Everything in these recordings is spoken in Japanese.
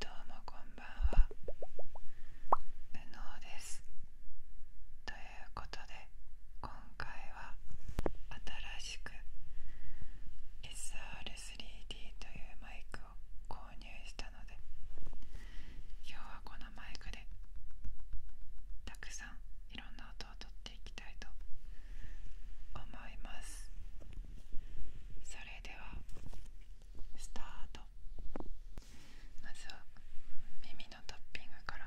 どうもこんばんはうのうですということで今回は新しく SR3D というマイクを購入したので今日はこのマイクでたくさんいろんな音トを取っていきたいと思いますそれではスタートまずは耳のトッピングから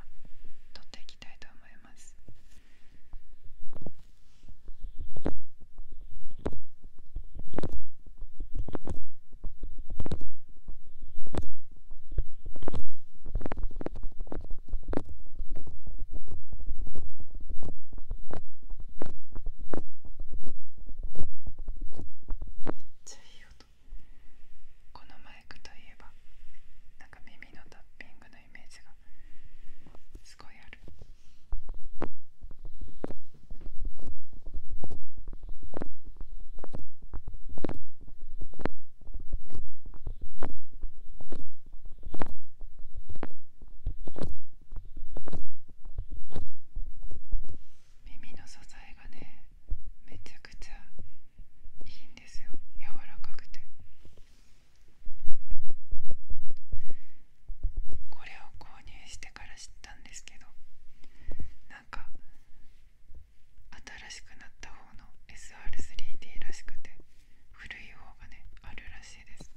取っていきたいと思いますめっちゃいい音このマイクといえばなんか耳のタッピングのイメージがすごいある耳の素材がねめちゃくちゃいいんですよ柔らかくてこれを購入してから知ったんですけどなんか新しくなった方の SR3D らしくて古い方がねあるらしいです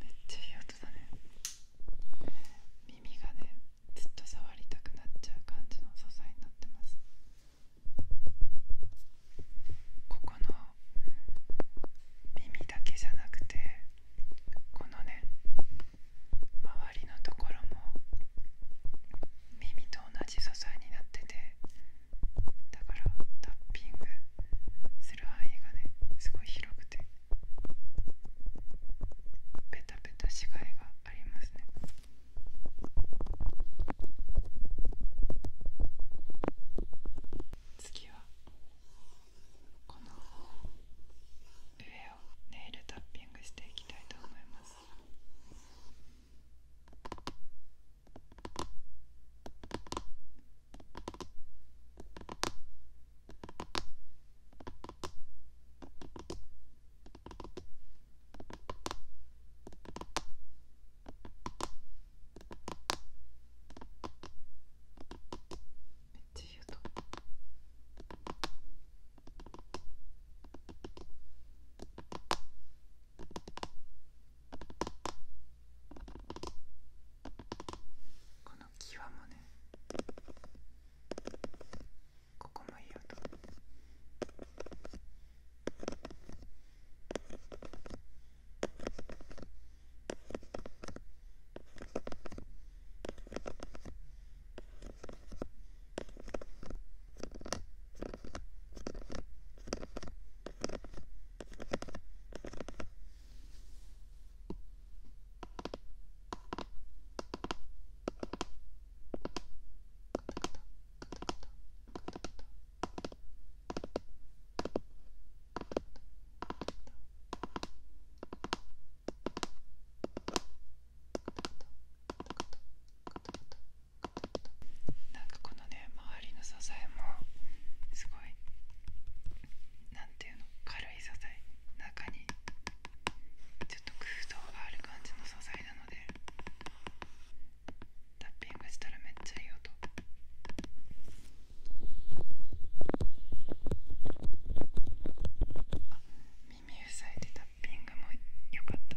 めっちゃいい音だね。耳がねずっと触りたくなっちゃう感じの素材になってますここの耳だけじゃなくてこのね周りのところも耳と同じ素材になっててだからタッピングする範囲がねすごい広くてペタペタしがいがありますね次はこの上をネイルタッピングしていきたいと思いますめっちゃ言の際もねここもいい音なかこのね周りの支えもすごい何なていうの軽い素材中にちょっと空洞がある感じの素材なのでタッピングしたらめっちゃいい音。あ耳塞いでタッピングも良かった。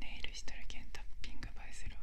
ネイルしとるけんタッピング映えするわ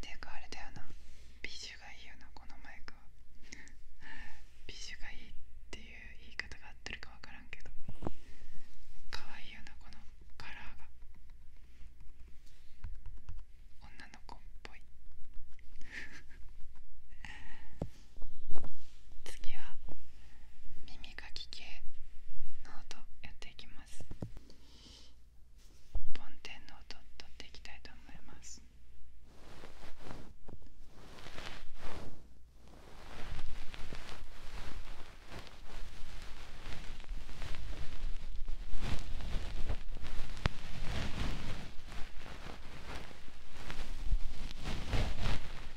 ていうかあれだよな美酒がいいよなこのマイクは美酒がいいっていう言い方が合ってるか分からんけどかわいいよなこのカラーが女の子っぽい 次は耳耳かき系の音やっていきます梵天の音取っていきたいと思います耳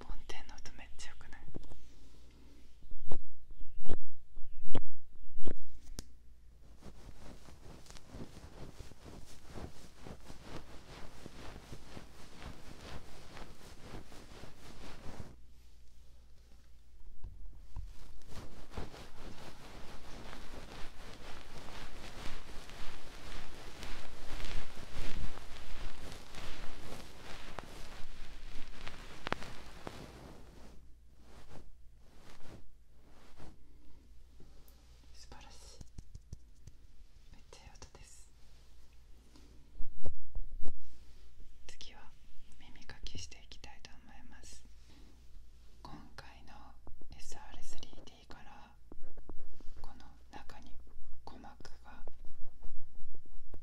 梵天の音めっちゃよくない素晴らしいめっちゃいい音です次は耳かきしていきたいと思います今回の SR3D からこの中に鼓膜が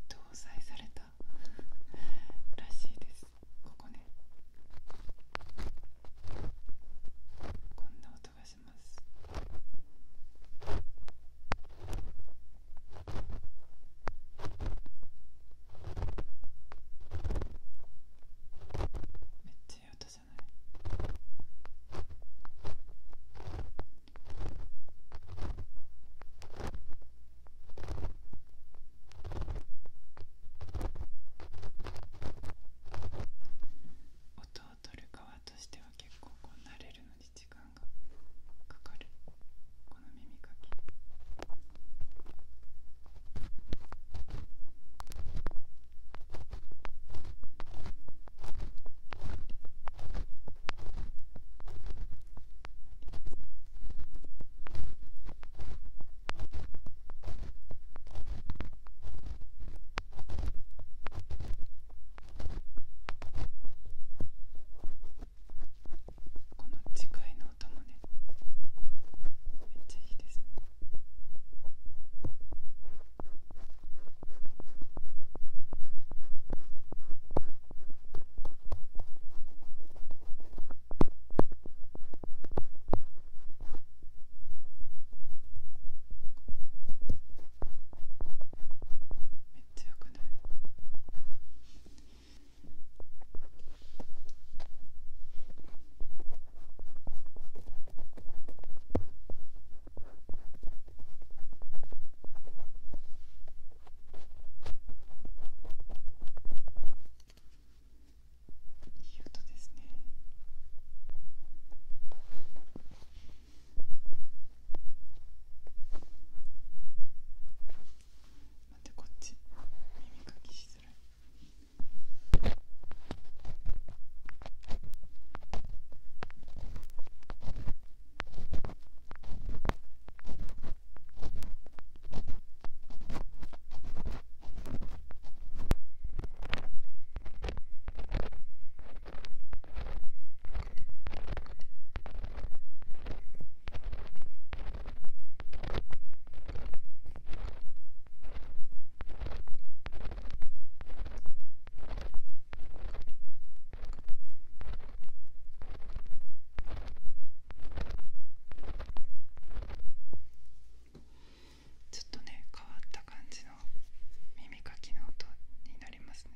搭載されたらしいですここねこんな音がしますめっちゃいい音じゃない音を取る側としては結構こう慣れるのに時間がかかる。この耳かきこの次いのめっちゃいめっちゃよくないいい音ですね。待ってこっち耳かきしづらいちょっとね変わった感じの耳かきの音になりますね。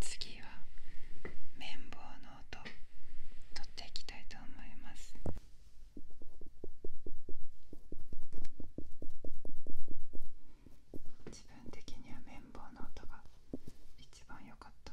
次は綿棒の音とっていきたいと思います。自分的には綿棒の音が一番良かった。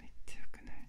めっちゃよくない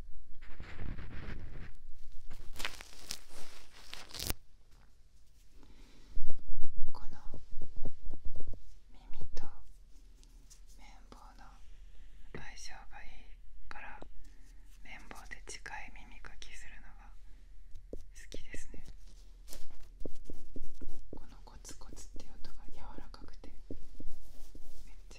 この耳と綿棒の相性がいいから綿棒で近い耳かきするのが好きですねこのコツコツって音が柔らかくてめっちゃ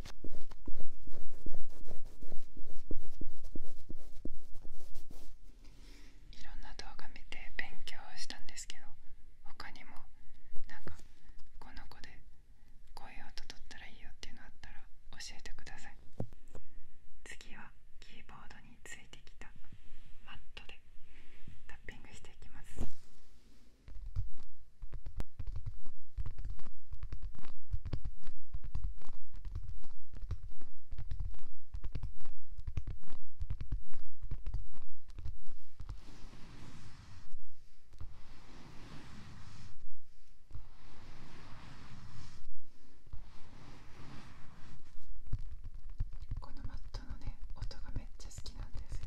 いろんな動画見て勉強したんですけど他にもなんかこの子でこういう音取ったらいいよっていうのあったら教えてください次はキーボードについてきたマットでタッピングしていきます。このマットの音がめっちゃ好きなんですよ。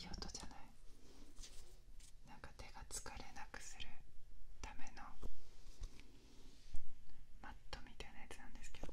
いい音じゃないなんか手が疲れなくするためのマットみたいなやつなんですけど。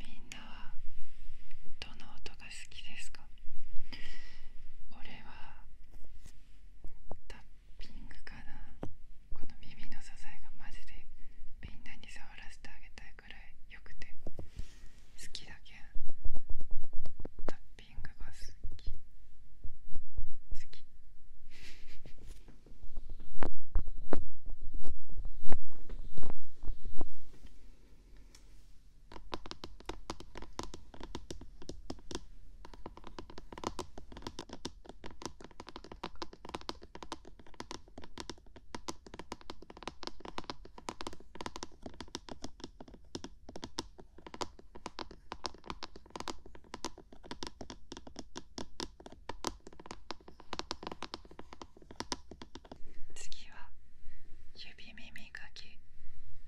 みんなはどの音が好きですか俺はタッピングかなこの耳の支えがマジでみんなに触らせてあげたいくらいよくて好きだけんピングが好き好次は指耳かき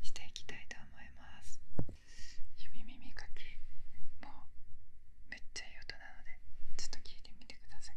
していきたいと思います指耳かきもうめっちゃいい音なのでちょっと聞いてみてください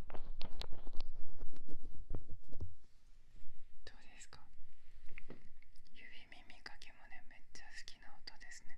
どうですか指耳かけもねめっちゃ好きな音ですね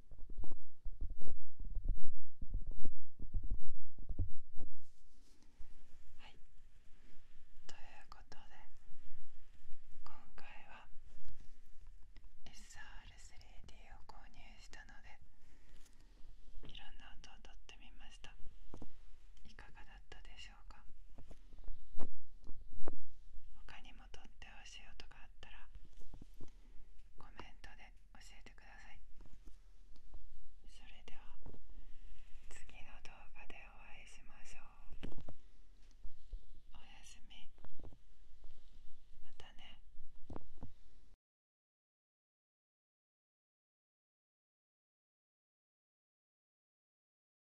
はいということで今回は SR3D を購入したのでいろんな音をとってみましたいかがだったでしょうか他にもも撮ってほしい音があたらコメントで教えてくださいそれでは次の動画でお会いしましょうおやすみまたね